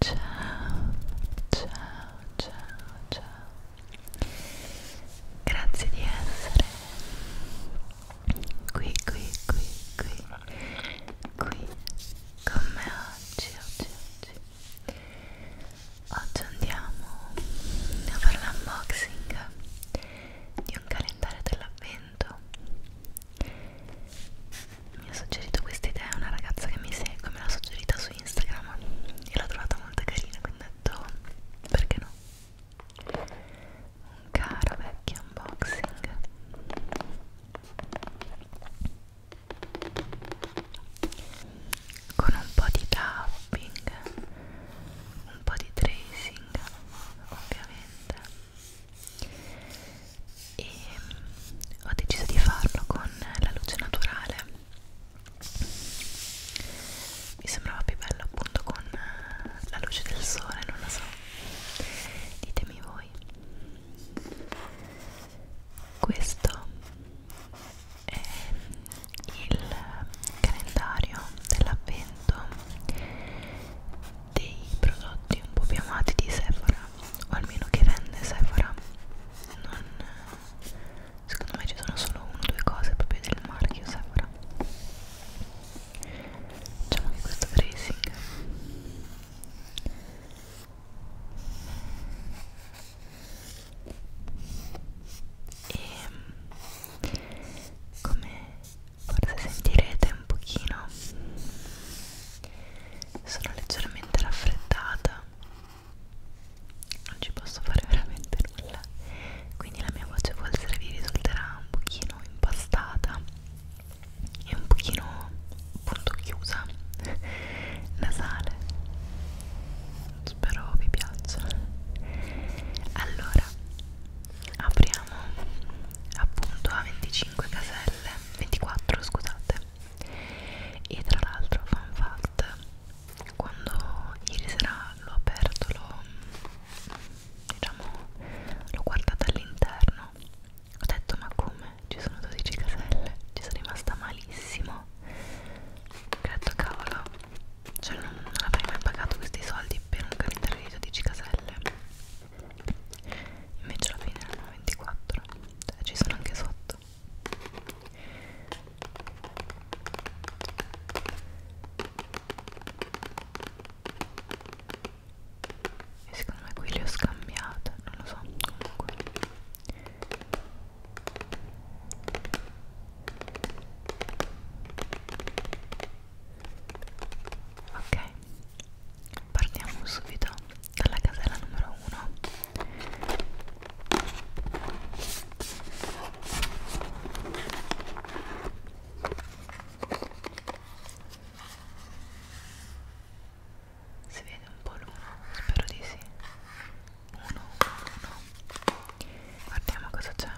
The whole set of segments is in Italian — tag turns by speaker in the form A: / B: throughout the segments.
A: Ciao, ciao, ciao, ciao. Grazie di essere qui, qui, qui, qui, qui con me oggi, oggi, oggi. Oggi andiamo a fare l'unboxing di un calendario dell'avvento mi ha suggerito questa idea una ragazza che mi segue me l'ha suggerita su Instagram e l'ho trovata molto carina quindi ho detto perché no un caro vecchio unboxing con un po' di tapping un po' di tracing ovviamente e mm, ho deciso di farlo con la luce naturale mi sembrava più bello appunto con eh, la luce del sole non lo so ditemi voi questo è mm, il calendario dell'avvento dei prodotti un po' più amati di Sephora o almeno che vende Sephora non secondo me ci sono solo uno o due cose proprio del marchio Sephora facciamo anche questo tracing e come forse sentirete un pochino sono leggermente raffreddata non ci posso fare veramente nulla quindi la mia voce può essere vi risulterà un pochino impastata e un pochino appunto chiusa nasale spero vi piaccia allora apriamo appunto a 25 caselle 24 scusate e tra l'altro fan fact quando ieri sera l'ho aperto l'ho diciamo l'ho guardata all'interno ho detto ma come ci sono 12 caselle ci sono rimasta malissimo ho detto cavolo cioè non, non avrei mai pagato questi soldi per un calendario di 12 caselle invece alla fine erano 24 cioè, ci sono anche sotto e secondo me qui le ho scambiate non lo so comunque ok partiamo subito dalla casella numero 1 si vede un po' l'uno? Spero di sì. Uno, uno, uno. Guardiamo cosa c'è.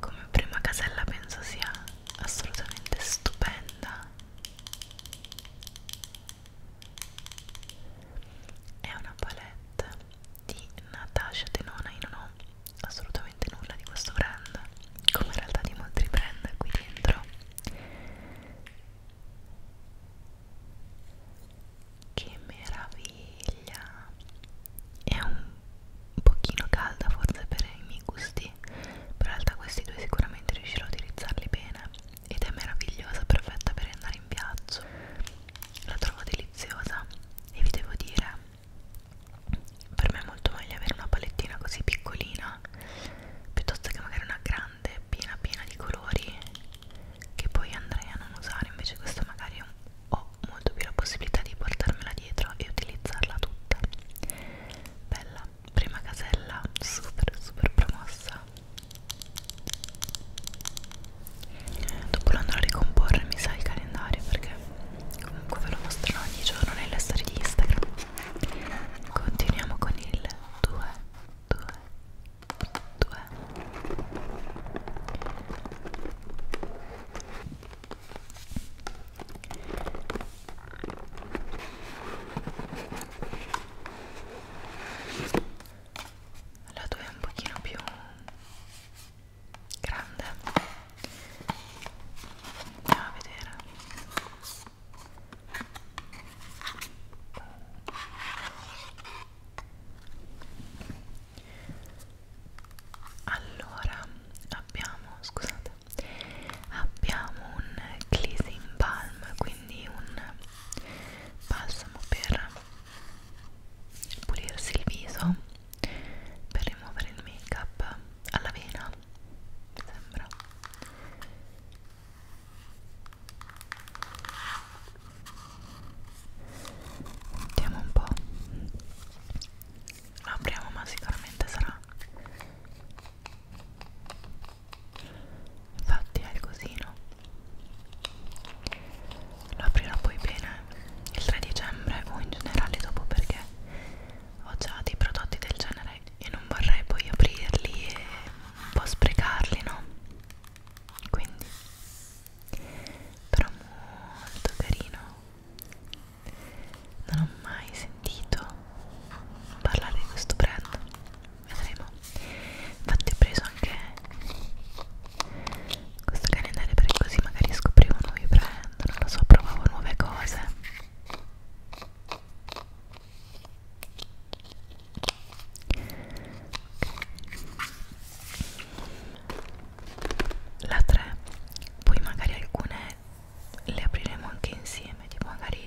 A: Come prima casella penso sia assolutamente stupenda è una palette di Natasha Denona io non ho assolutamente nulla di questo brand come in realtà di molti brand qui dentro che meraviglia è un pochino calda forse per i miei gusti sì però in realtà questi due sicuramente riuscirò a utilizzarli bene ed è meravigliosa, perfetta per andare in viaggio la trovo deliziosa e vi devo dire per me è molto meglio avere una palettina così piccolina piuttosto che magari una grande piena piena di colori che poi andrei a non usare invece questa magari ho molto più la possibilità di portarmela dietro e utilizzarla tutta bella prima casella super super promossa dopo lo andrò a ricomporre mi sa il calendario perché comunque ve lo mostrerò ogni giorno nelle storie di Instagram continuiamo con il 2 2 2 la tua è un pochino più grande andiamo a vedere allora abbiamo scusate abbiamo un Cleansing Balm, quindi un balsamo per pulirsi il viso, per rimuovere il make up alla vena, mi sembra. Vediamo un po'. Lo apriamo, ma sicuramente sarà infatti è il cosino lo aprirò poi bene il 3 dicembre o in generale dopo perché ho già dei prodotti del genere e non vorrei poi aprirli e un po' sprecarli no quindi però molto carino non ho mai sentito parlare di questo brand vedremo infatti ho preso anche questo calendario perché così magari scoprivo nuovi brand non lo so provavo nuove cose la 3 poi magari alcune le apriremo anche insieme tipo magari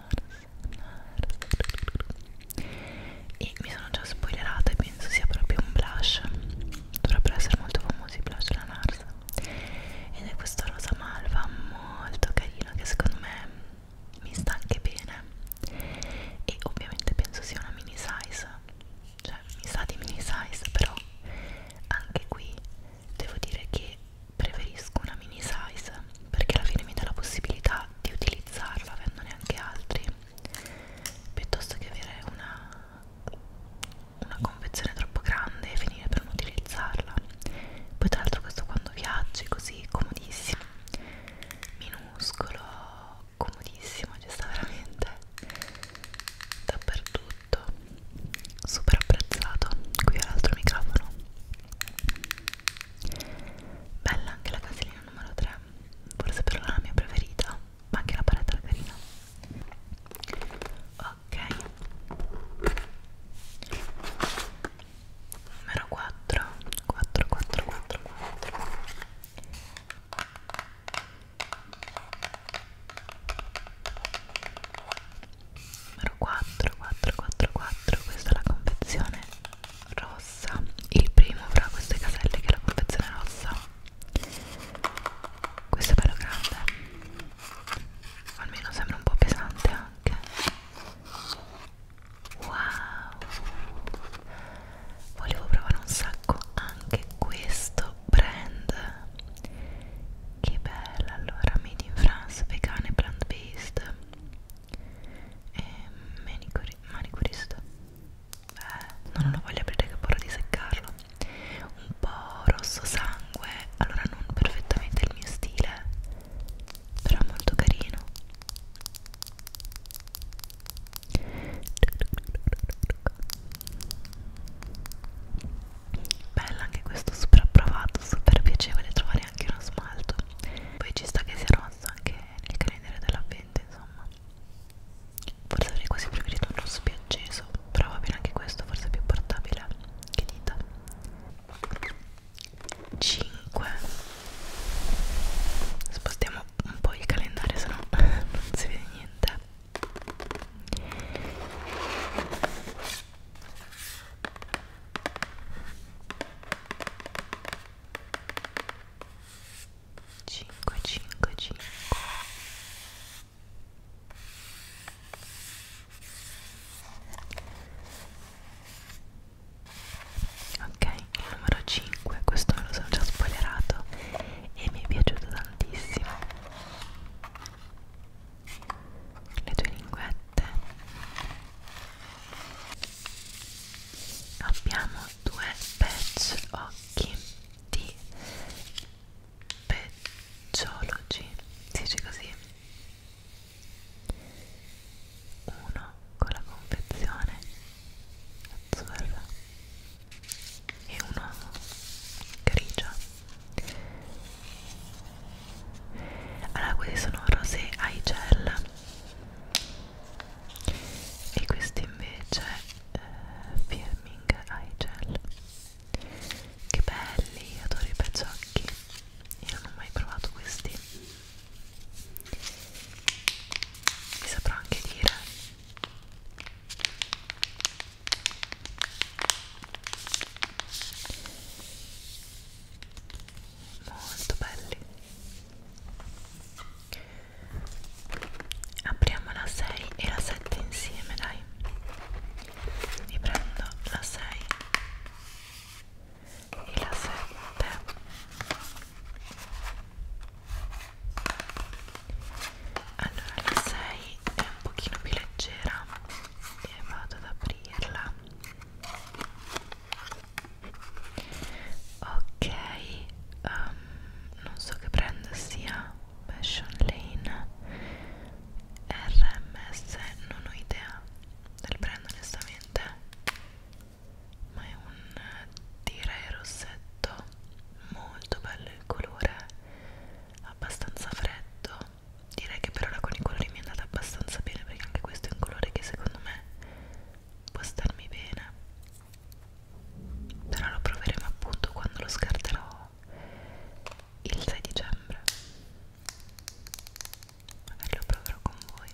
A: NARS e mi sono già spoilerata e penso sia proprio un blush dovrebbero essere molto famosi i blush della NARS ed è questo rosa malva molto carino che secondo me mi sta anche bene e ovviamente penso sia una mini size cioè mi sa di mini size però anche qui devo dire che preferisco una mini size perché alla fine mi dà la possibilità di utilizzarla avendone anche altri piuttosto che avere una, una confezione troppo grande e finire per non utilizzarla poi tra l'altro questo quando viaggi così comodissimo minuscolo comodissimo ci sta veramente dappertutto super apprezzato qui ho l'altro microfono Bella anche la casellina numero 3, forse però la mia preferita, ma anche la paletta è carina. Ok. Numero 4, 4, 4, 4, 4 numero 4444 questa è la confezione rossa il primo fra queste caselle che è la confezione rossa questo è bello grande almeno sembra un po' pesante anche wow volevo provare un sacco anche questo brand che bello allora made in France vegane plant based e manicuri manicurista eh, non ho voglia di aprire che paura di seccarlo un po' rosso sangue allora non perfettamente il mio stile però molto carino Bella anche questo super approvato, super piacevole trovare neanche uno smalto poi ci sta che sia rosso anche nel calendario dell'avvento insomma forse avrei quasi preferito un rosso più acceso però va bene anche questo forse è più portabile che dita 5 spostiamo un po' il calendario se no non si vede niente Cinque, cinque, cinque. Ok, il numero 5, questo me lo sono già spoilerato e mi è piaciuto tantissimo le tue linguette abbiamo due pezzi occhi di pecciologi si dice così uno con la confezione azzurra e uno grigio allora questi sono rosé ai gel e questi invece eh, firming ai gel che belli adoro i pezzacchi io non ho mai provato questi vi saprò anche dire molto belli apriamo la 6 e la 7 insieme dai mi prendo la 6 e la 7 allora la 6 è un pochino più leggera e vado ad aprirla ok um, non so che brand sia Passion Lane RMS non ho idea del brand onestamente ma è un direi eh, rossetto molto bello il colore abbastanza freddo direi che per ora con i colori mi è andata abbastanza bene perché anche questo è un colore che secondo me può starmi bene però lo proveremo appunto quando lo scarterò il 6 dicembre magari lo proverò con voi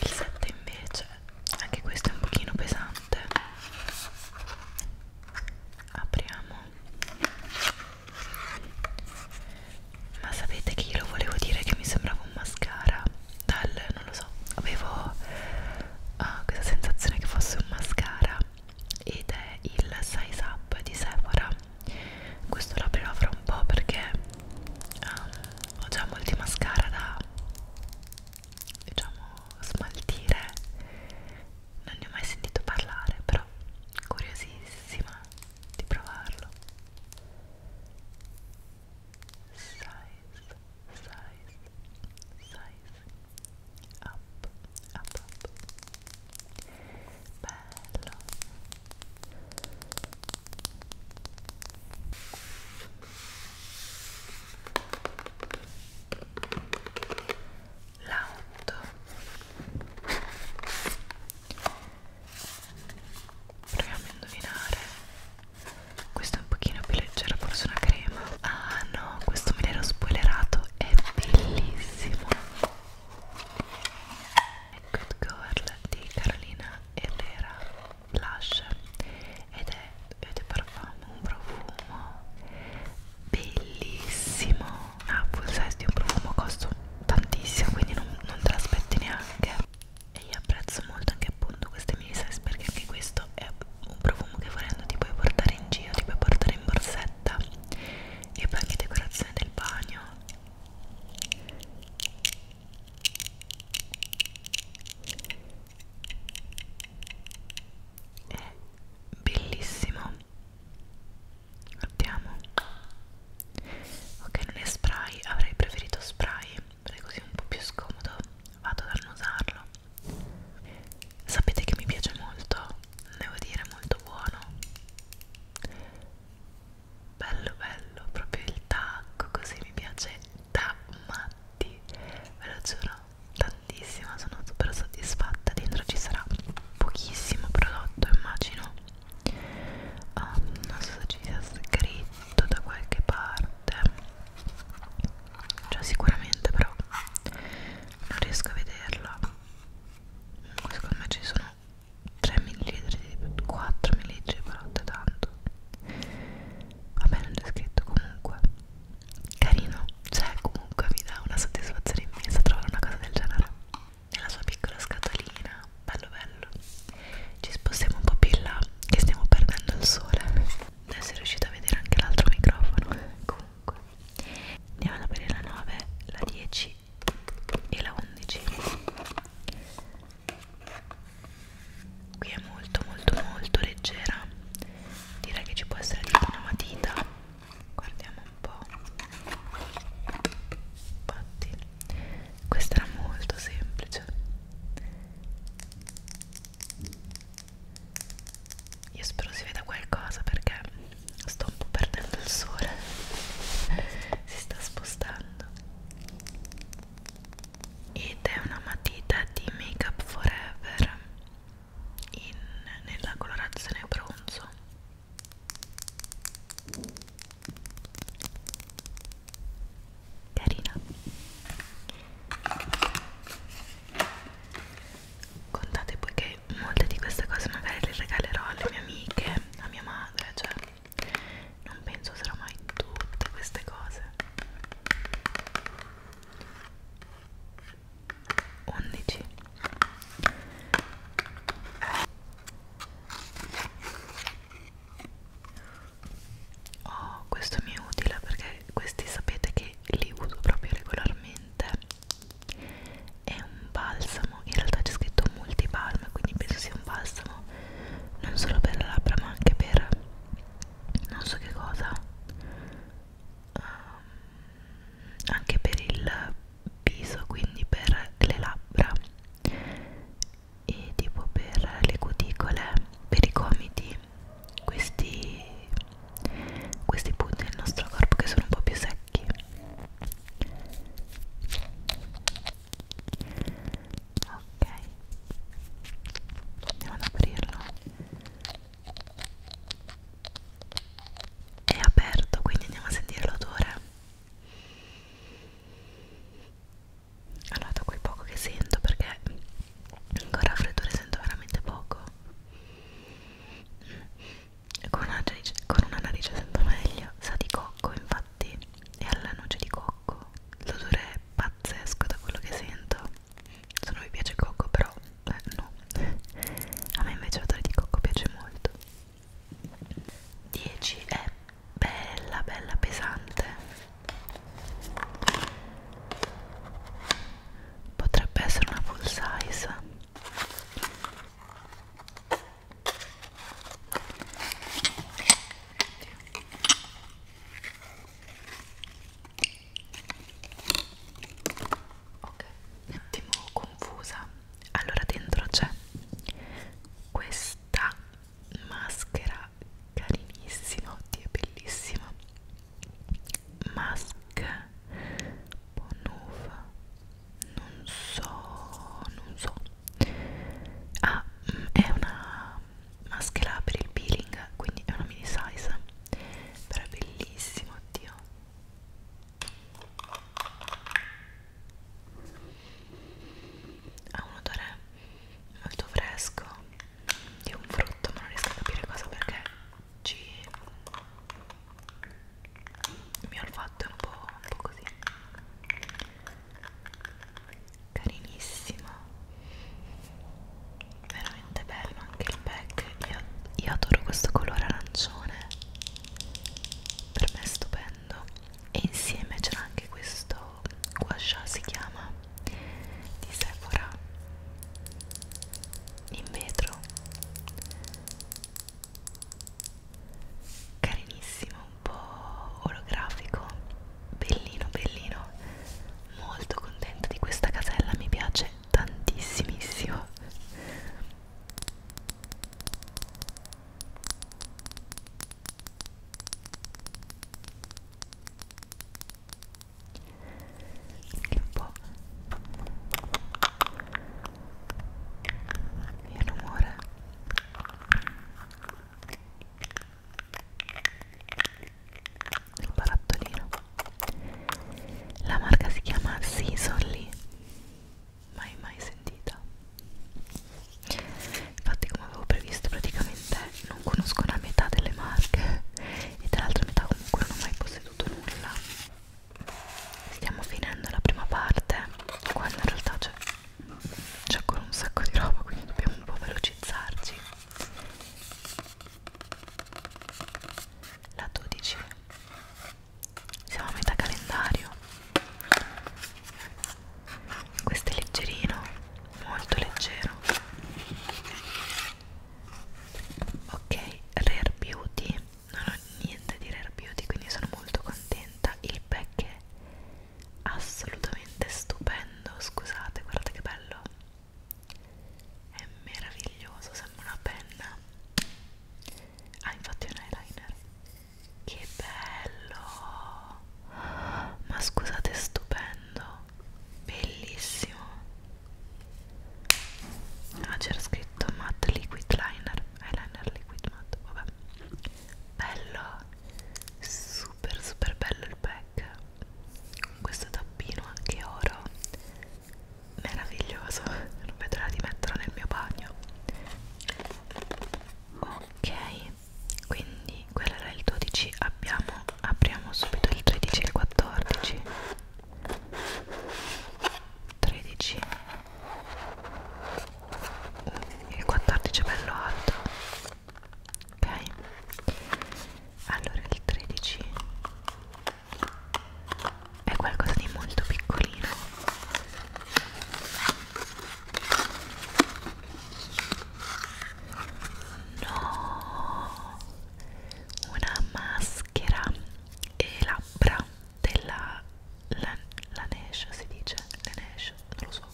A: il 7 invece anche questo è un pochino pesante apriamo ma sapete che io lo volevo dire che mi sembrava un mascara dal non lo so avevo uh, questa sensazione che fosse un mascara ed è il size up di Sephora questo lo aprirò fra un po' perché um, ho già molti mascara da diciamo smaltire non ne ho mai sentito parlare però curiosissima di provarlo size size size up up up bello l'auto proviamo a indovinare questa è un pochino più leggera forse una crema ah no questo me l'ero spoilerato è bellissimo Good Girl di Carolina Herrera Blush ed è, vedete, parfum, un profumo bellissimo una full size di un profumo costa tantissimo quindi non, non te l'aspetti neanche e io apprezzo molto anche appunto queste mini size perché anche questo è un profumo che volendo ti puoi portare in giro ti puoi portare in borsetta e poi anche decorazione del bagno è bellissimo Guardiamo. Ok, non è spray, avrei preferito spray, perché così è un po' più scomodo. Vado ad annusarlo. Sapete che mi piace molto, devo dire molto buono. Bello bello, proprio il tacco, così mi piace da matti. Ve lo giuro, tantissimo, sono super soddisfatta. Dentro ci sarà pochissimo prodotto, immagino um, non so se ci sia scritto da qualche parte cioè sicuramente però non riesco a vederla secondo me ci sono 3 ml 4 ml per notte tanto vabbè non c'è scritto comunque carino cioè comunque mi dà una soddisfazione immensa trovare una cosa del genere nella sua piccola scatolina bello bello ci spostiamo un po' più in là che stiamo perdendo il sole adesso è riuscita a vedere anche l'altro microfono comunque andiamo ad aprire la 9 la 10 e la 11 qui è molto molto molto leggera direi che ci può essere tipo una matita guardiamo po' infatti questa era molto semplice io spero si veda qualcosa perché sto un po' perdendo il sole si sta spostando ed è una matita di Make Up Forever in, nella colorazione bronzo carina contate poi che molte di queste cose magari le regalerò alle mie amiche a mia madre cioè non penso sarà mai tutte queste cose 11 Oh, questo mi è utile perché questi sapete che li uso proprio regolarmente. È un balsamo, in realtà c'è scritto multibalm, quindi penso sia un balsamo non solo per le labbra ma anche per non so che cosa. Um, anche per il viso quindi per le labbra e tipo per le cuticole per i gomiti questi, questi punti del nostro corpo che sono un po' più secchi ok andiamo ad aprirlo è aperto quindi andiamo a sentire l'odore allora da quel poco che sento perché ancora freddore sento veramente poco con una, narice, con una narice sento meglio sa di cocco infatti e alla noce di cocco l'odore è pazzesco da quello che sento se non mi piace il cocco però eh, no a me invece l'odore di cocco piace molto 10 è bella bella pesante potrebbe essere una full size ok un attimo confusa allora dentro c'è questa maschera carinissima oddio è bellissima mask bonova non so non so ah mm, è una maschera per il peeling quindi è una mini size però è bellissima oddio ha un odore molto fresco di un frutto ma non riesco a capire cosa perché ci il mio olfatto è un po', un po così carinissimo veramente bello anche il pack io, io adoro questo colore arancione per me è stupendo mangiando e insieme c'era anche questo gua sha si chiama di Sephora in vetro carinissimo un po' olografico bellino bellino molto contenta di questa casella mi piace tantissimissimo che un po' il rumore il barattolino la marca si chiama Sisonly mai mai sentita infatti come avevo previsto praticamente non conosco la metà delle marche e dall'altra metà comunque non ho mai posseduto nulla stiamo finendo la prima parte quando in realtà c'è c'è ancora un sacco di roba quindi dobbiamo un po' velocizzarci la 12 siamo a metà calendario questo è leggerino molto leggero ok rare beauty non ho niente di rare beauty quindi sono molto contenta il pack è assolutamente stupendo scusate guardate che bello è meraviglioso sembra una penna ah infatti è un eyeliner che bello! Ma scusate, è stupendo! Bellissimo! Ah, c'era scritto matte liquid liner, eyeliner liquid matte, vabbè. Bello! Super super bello il pack. Con questo tappino anche oro. Meraviglioso, non vedo l'ora di metterlo nel mio bagno. Ok, quindi quello era il 12 abbiamo apriamo subito il 13 e il 14 13 il 14 è bello alto ok allora il 13 è qualcosa di molto piccolino No, una maschera e labbra della la, Laneige si dice, Laneige, non lo so.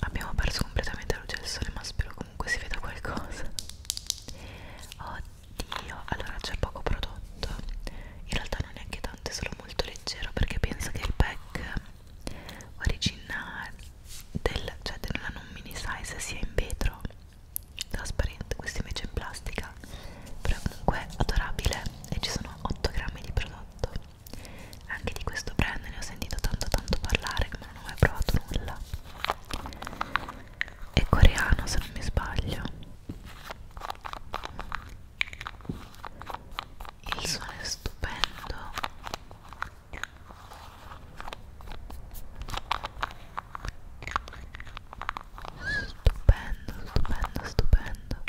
A: Abbiamo perso completamente la luce del sole, ma spero comunque si veda qualcosa. Oddio, allora c'è poco prodotto in realtà non neanche tante solo molto leggero perché penso che il pack originale del, cioè della non mini size sia in vetro trasparente questo invece è in plastica però è comunque adorabile e ci sono 8 grammi di prodotto anche di questo brand ne ho sentito tanto tanto parlare ma non ho mai provato nulla è coreano se non mi sbaglio il suono è stupendo stupendo stupendo stupendo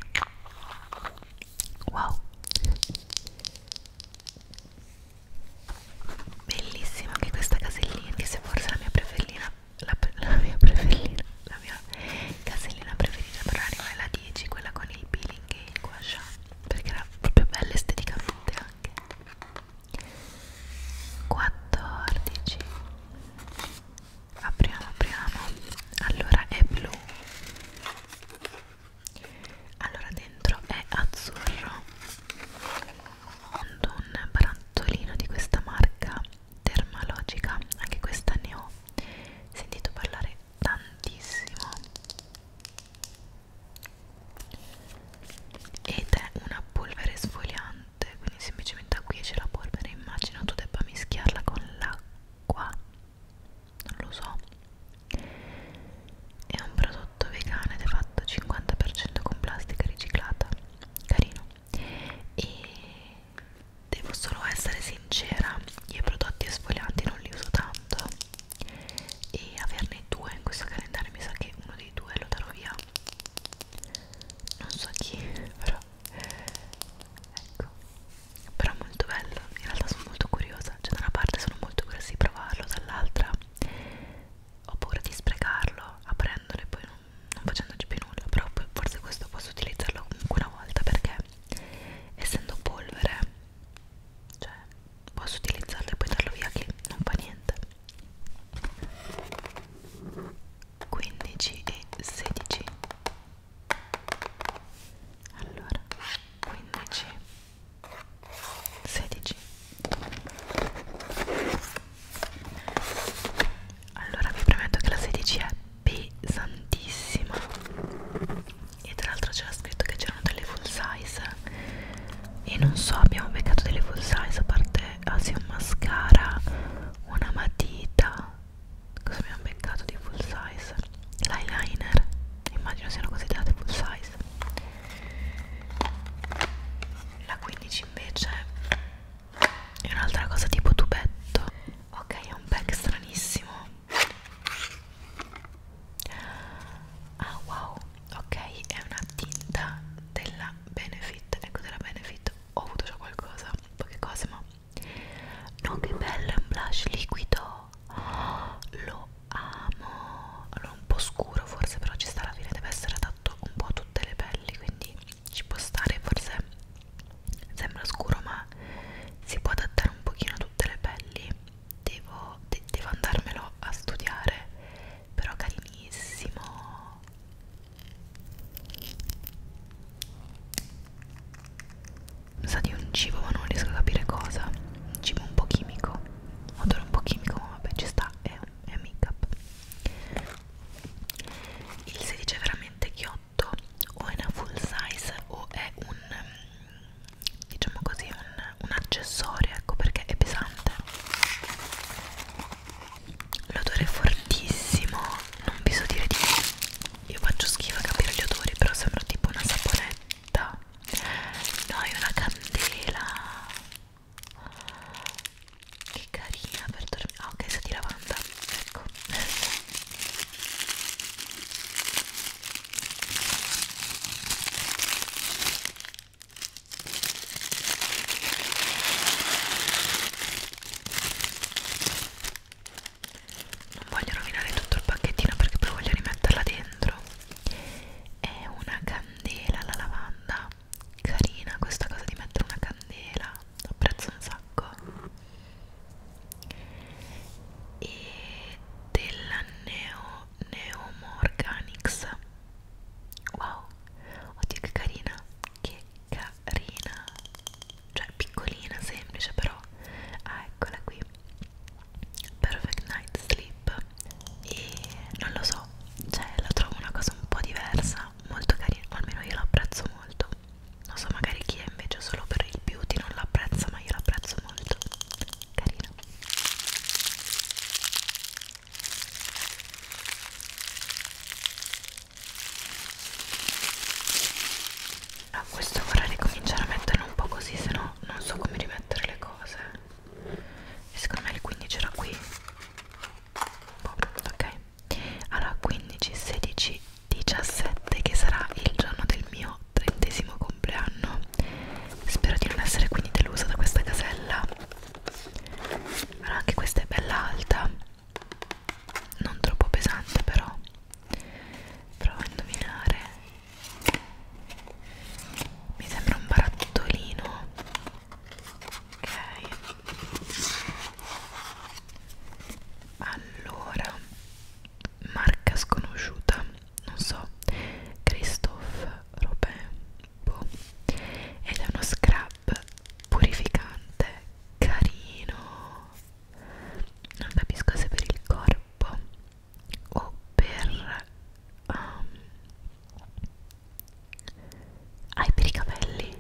A: wow bellissima anche questa casellina che se forse è la mia preferita la, la mia preferita la mia casellina preferita però era la 10 quella con il peeling e il gua sha perché era proprio bella esteticamente anche 14 apriamo apriamo allora è blu allora dentro è azzurro un, un barattolino di questa marca dermalogica anche questa ne ho sentito parlare tantissimo ed è una polvere sfogliante quindi semplicemente acquiesce la polvere immagino tu debba mischiarla con l'acqua non lo so è un prodotto vegano ed è fatto 50% con plastica riciclata carino e Devo solo essere sincera, i prodotti esfolianti non li uso tanto e averne due in questo calendario mi sa che uno dei due lo darò via. Non so chi, però ecco. Però molto bello, in realtà sono molto curiosa, cioè da una parte sono molto curiosa di provarlo, dall'altra ho paura di sprecarlo aprendolo e poi non, non facendoci più nulla però forse questo posso utilizzarlo comunque una volta perché essendo polvere cioè posso utilizzarlo e poi darlo via che non fa niente 15 e 16 allora 15 16 allora vi prometto che la 16 è pesantissima e tra l'altro c'era scritto che c'erano delle full size e non so abbiamo beccato delle full size a parte ah sì un mascara una matita cosa abbiamo beccato di full size l'eyeliner immagino siano considerate full size la 15 invece e un'altra cosa tipo tubetto ok è un pack stranissimo ah wow ok è una tinta della benefit ecco della benefit ho avuto già qualcosa poche cose ma no che bello è un blush liquido oh, lo amo allora un po' scuro forse però ci sta alla fine deve essere adatto un po' a tutte le pelli quindi ci può stare forse sembra scuro ma si può adattare un pochino a tutte le pelli devo, de devo andarmelo a studiare però carinissimo sa di un cibo ma non riesco a capire cosa un cibo un po' chimico odore un po' chimico ma vabbè ci sta è, è make up il 16 è veramente chiotto prodotto o è una full size o è un diciamo così un, un accessorio ecco perché è pesante l'odore è fortissimo non vi so dire di più io faccio schifo a capire gli odori però sembra tipo una saponetta no è una candela che carina per dormire ah ok sa di lavanda ecco non voglio rovinare tutto il pacchettino perché poi voglio rimetterla dentro. È una candela alla lavanda. Carina questa cosa di mettere una candela apprezzo un sacco e della Neo Neomo Organics wow oddio che carina che carina cioè piccolina semplice però ah eccola qui perfect night sleep e non lo so cioè la trovo una cosa un po' diversa molto carina almeno io la apprezzo molto non so magari chi è invece solo per il beauty non l'apprezza ma io l'apprezzo molto carino a questo vorrei ricominciare a metterlo un po' così se no non so come rimettere le cose e secondo me il 15 era qui boh, ok allora 15 16 17 che sarà il giorno del mio trentesimo compleanno spero di non essere quindi delusa da questa casella allora anche questa è bella alta non troppo pesante però provo a indovinare mi sembra un barattolino ok allora marca sconosciuta non so Christophe Robin boh. ed è uno scrub purificante carino non capisco se per il corpo o per um, ah è per i capelli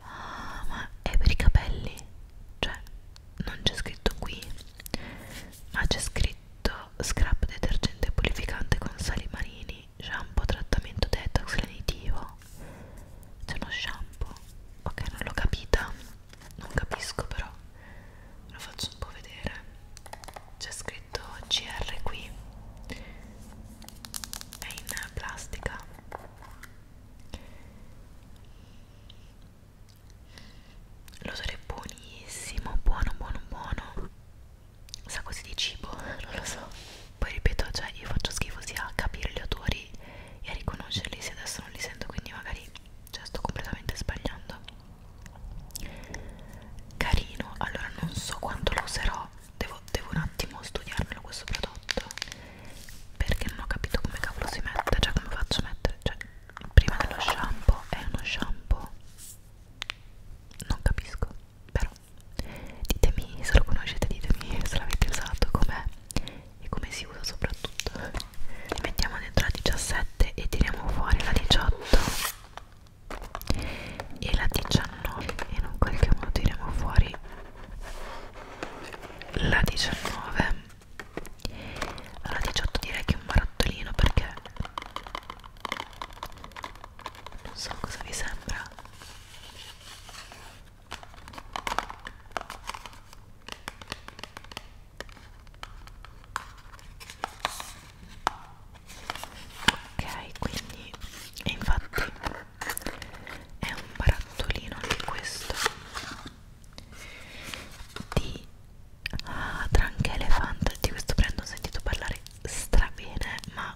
A: ah ma è per i capelli cioè non c'è scritto qui ma c'è scritto scrap detergente purificante con sali marini shampoo trattamento detox lenitivo c'è uno shampoo ok non l'ho capita non capisco però lo faccio un po' vedere c'è scritto CR qui è in plastica L'odore è buonissimo, buono, buono, buono. Sa così di cibo, non lo so. Poi ripeto, cioè io faccio schifo sia a capire gli odori e a riconoscerli se adesso non li sento, quindi magari cioè, sto completamente sbagliando. Carino, allora non so quanto lo userò, devo, devo un attimo studiarmelo questo prodotto perché non ho capito come cavolo si mette cioè come faccio a mettere cioè prima dello shampoo è uno shampoo non capisco però ditemi se lo conoscete ditemi se l'avete usato com'è e come si usa soprattutto li mettiamo dentro la 17 e tiriamo fuori la 18 e la 19 e in un qualche modo tiriamo fuori la 19 allora 18 direi che è un barattolino perché non so cosa vi sembra ok quindi e infatti è un barattolino anche questo di ah, Drunk Elephant di questo brand ho sentito parlare strabene ma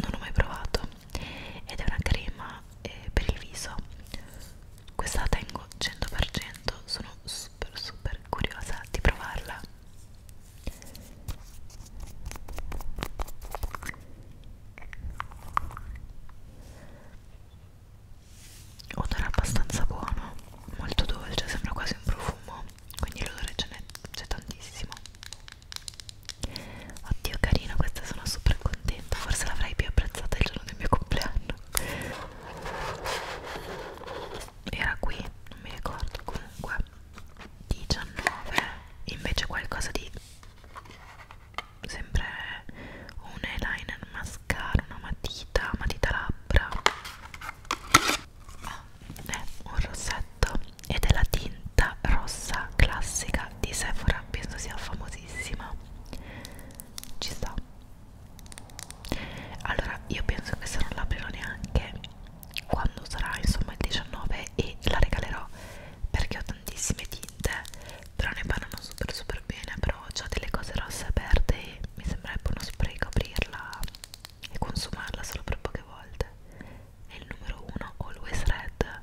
A: non l'ho mai provato ed è una crema eh, per il viso questa la tengo 100% sono super super curiosa di provarla odore abbastanza buono molto dolce sembra quasi un profumo quindi l'odore ce n'è c'è tantissimo oddio carina questa sono super contenta forse l'avrei più apprezzata il giorno del mio compleanno era qui non mi ricordo comunque 19 invece qualcosa di sempre un eyeliner un mascara, una matita, matita labbra ah, è un rossetto ed è la tinta rossa classica di Sephora penso sia famosissima ci sta allora io penso che se non l'aprirò neanche quando sarà insomma il 19 e la regalerò perché ho tantissime tinte però ne parlano super super bene però almeno ho delle cose rosse aperte e mi sembrerebbe uno spreco aprirla e consumarla solo per poche volte e il numero 1 Always Red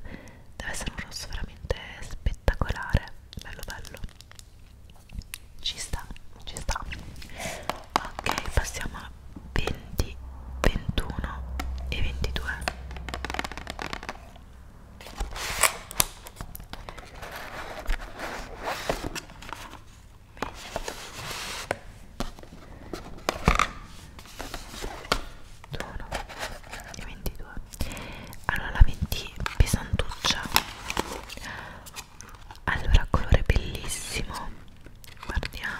A: deve essere un rosso veramente spettacolare bello bello ci sta ci sta ok passiamo a 20 21 e 22 21 e 22 allora la 20 pesantuccia allora colore bellissimo guardiamo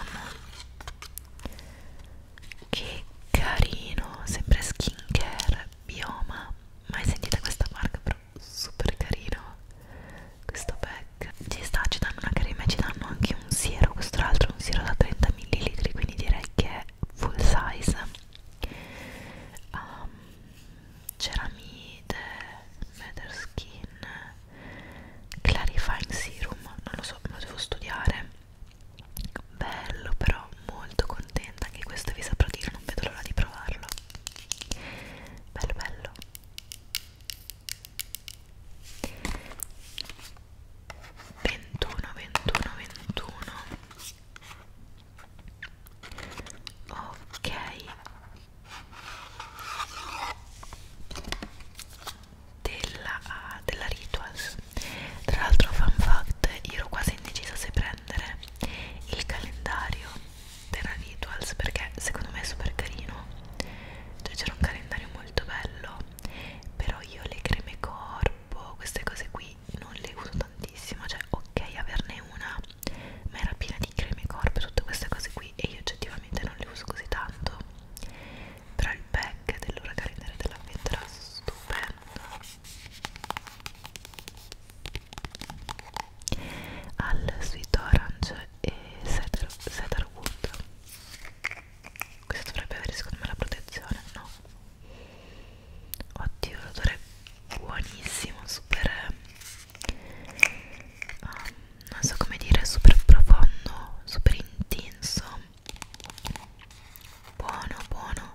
A: che carino sembra skincare bioma mai sentita questa marca però super carino questo pack ci sta ci danno una crema e ci danno anche un siero questo tra l'altro è un siero da 30 ml quindi direi che è full size um, ceramide feather skin clarifying serum non lo so me lo devo studiare bello però molto contenta anche questo vi saprò dire non vedo l'ora di provarlo bello bello ventuno ventuno ventuno ok della, uh, della Rituals tra l'altro fun fact io ero quasi indecisa se prendere il calendario Terra Rituals perché secondo me è super carino cioè c'era un calendario molto bello però io le creme corpo queste cose qui non le uso tantissimo cioè ok averne una ma era piena di creme corpo e tutte queste cose qui e io oggettivamente non le uso così tanto però il pack dell'ora calendario dell'avventura stupendo al sweet orange e cedar, cedar wood questo dovrebbe avere secondo me la protezione no oddio l'odore è buonissimo super um, non so come dire super profondo super intenso buono buono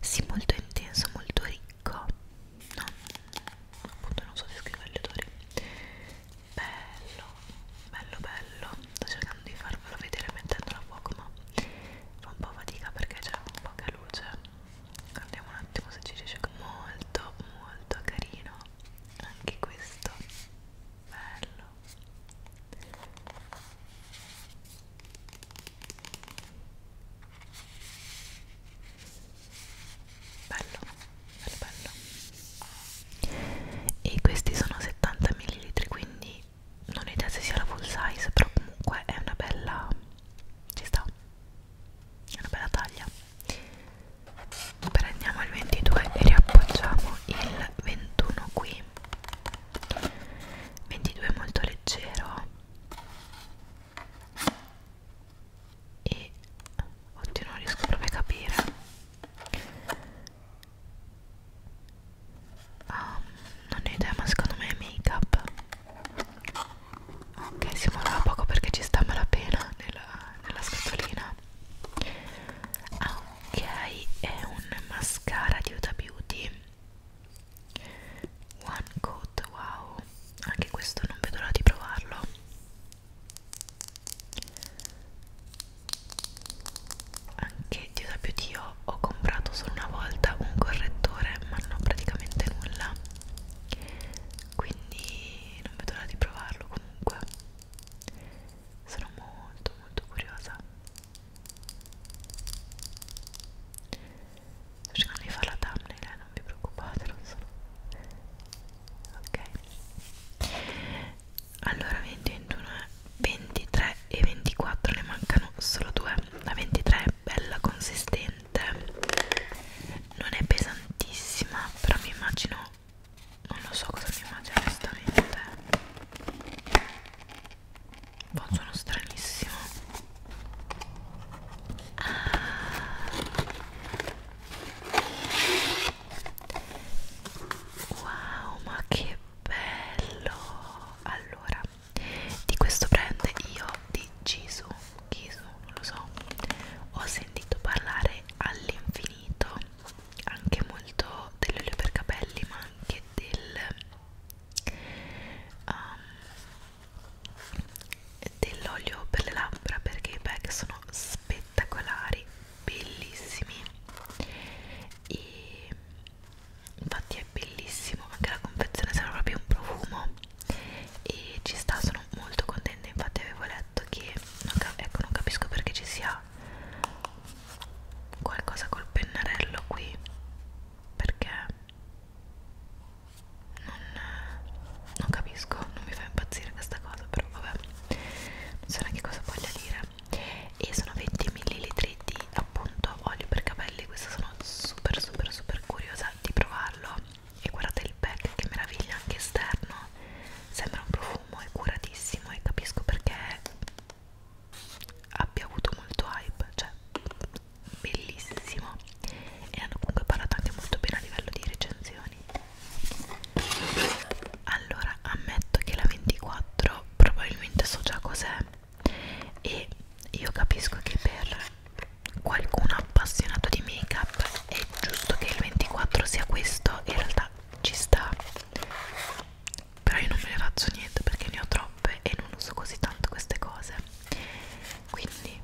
A: sì molto intenso molto ricco no, appunto non so descrivere gli odori bello, bello bello sto cercando di farvelo vedere mettendolo a fuoco ma fa un po' fatica perché c'è poca luce guardiamo un attimo se ci riesce molto molto carino anche questo bello bello bello bello e questi sono 70 ml quindi non ho idea se sia la full size però comunque è una bella ci sta è una bella taglia prendiamo il 22 e riappoggiamo il 21 qui 22 è molto leggero e oddio non riesco proprio a capire ah, non ho idea ma secondo me è make up ok siamo là poco perché ci sta malapena nella, nella scatolina ah, ok è un mascara di Huda Beauty One Coat, wow, anche questo non vedo l'ora di provarlo. Anche Dio sappia Dio, ho comprato solo una volta un correttore, ma non ho praticamente nulla. Quindi non vedo l'ora di provarlo comunque. Sono molto molto curiosa sto cercando di fare la thumbnail eh? non vi preoccupate non sono ok allora 20, 21, 23 e 24 ne mancano solo due la 23 è bella consistente non è pesantissima però mi immagino non lo so cosa mi immagino onestamente boh sono stranissimo ah, wow ma che bello allora di questo brand io di Gisu Gisu non lo so ho sentito parlare all'infinito anche molto dell'olio per capelli ma anche del um, dell'olio per le labbra perché i pack sono spettacolari bellissimi e infatti è bellissimo anche la confezione sembra proprio un profumo e ci sta sono molto contenta infatti avevo letto che non ecco non capisco perché ci sia qualcosa col pennarello qui perché non, non capisco, non mi fa impazzire questa cosa, però vabbè, non so neanche cosa voglia dire. E sono 20 ml di appunto olio per capelli. Questa sono super, super, super curiosa di provarlo. E guardate il pack, che meraviglia anche esterno. Sembra un profumo, è curatissimo e capisco perché abbia avuto molto hype, cioè bellissimo e hanno comunque parlato anche molto bene a livello di recensioni allora ammetto che la 24 probabilmente so già cos'è e io capisco che per qualcuno appassionato di make up è giusto che il 24 sia questo in realtà ci sta però io non me ne faccio niente perché ne ho troppe e non uso così tanto queste cose quindi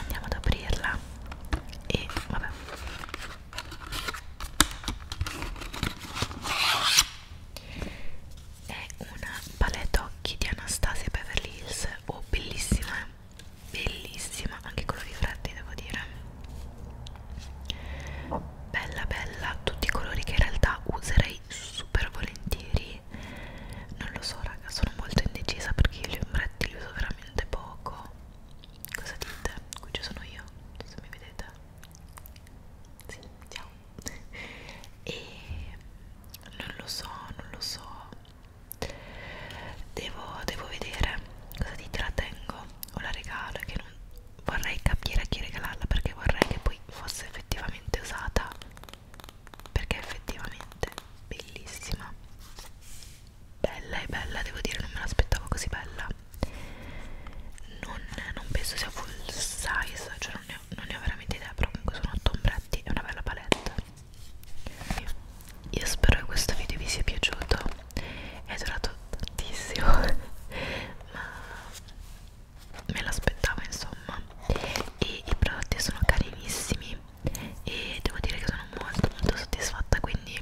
A: andiamo ad aprirla e vabbè è una palette occhi di Anastasia Beverly Hills oh bellissima eh. bellissima anche colori freddi devo dire bella bella tutti i colori che in realtà userei super volentieri non lo so raga sono molto indecisa perché io gli ombretti li uso veramente poco cosa dite? qui ci sono io se mi vedete sì ciao e non lo so non lo so devo, devo vedere cosa dite la tengo o la regalo che non vorrei capire a chi regalarla perché vorrei che poi fosse effettivamente usata perché è effettivamente bellissima bella e bella devo dire non me l'aspettavo così bella non, non penso sia full size cioè non ne ho, non ne ho veramente idea però comunque sono otto ombretti e una bella palette io spero che questo video vi sia piaciuto è durato tantissimo ma me l'aspettavo insomma e i prodotti sono carinissimi e devo dire che sono molto molto soddisfatta quindi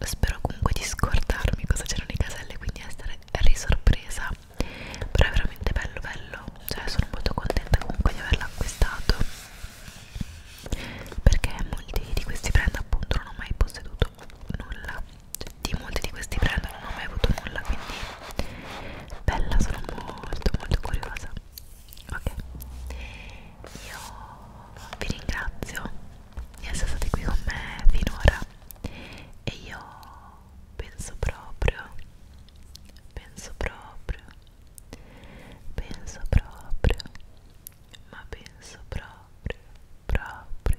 A: spero comunque di scordarmi cosa c'erano le caselle quindi essere risorpresa però è veramente bello bello cioè sono molto contenta comunque di averla acquistato perché molti di questi brand appunto non ho mai posseduto nulla di molti di questi brand non ho mai avuto nulla quindi bella sono molto molto curiosa ok io vi ringrazio di essere stati qui con me finora e io penso proprio penso proprio penso proprio ma penso proprio proprio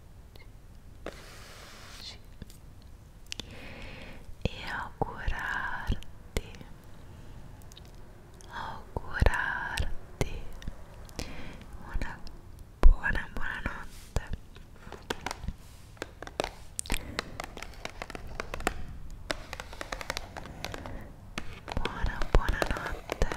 A: 10 e augurarti augurarti una buona buonanotte buona buonanotte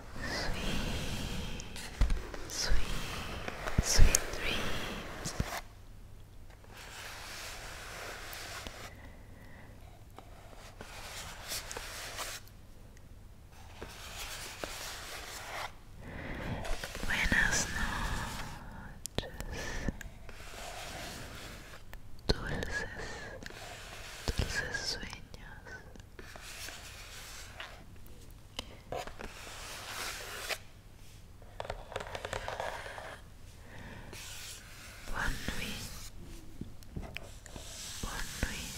A: Sweet, sweet, sweet dreams. Buenas noches, dulces, dulces sueños. Bonne nuit. Bonne nuit.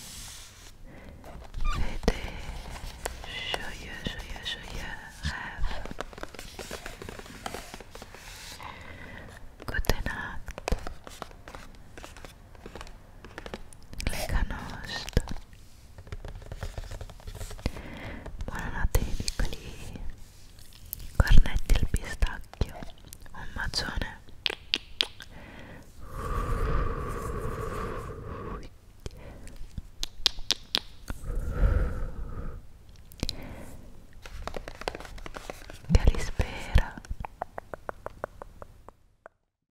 A: Fais des joyeux, joyeux, joyeux rêves. Goedenacht. le canoste buonanotte ai piccoli cornetti al pistacchio un bacione Calispera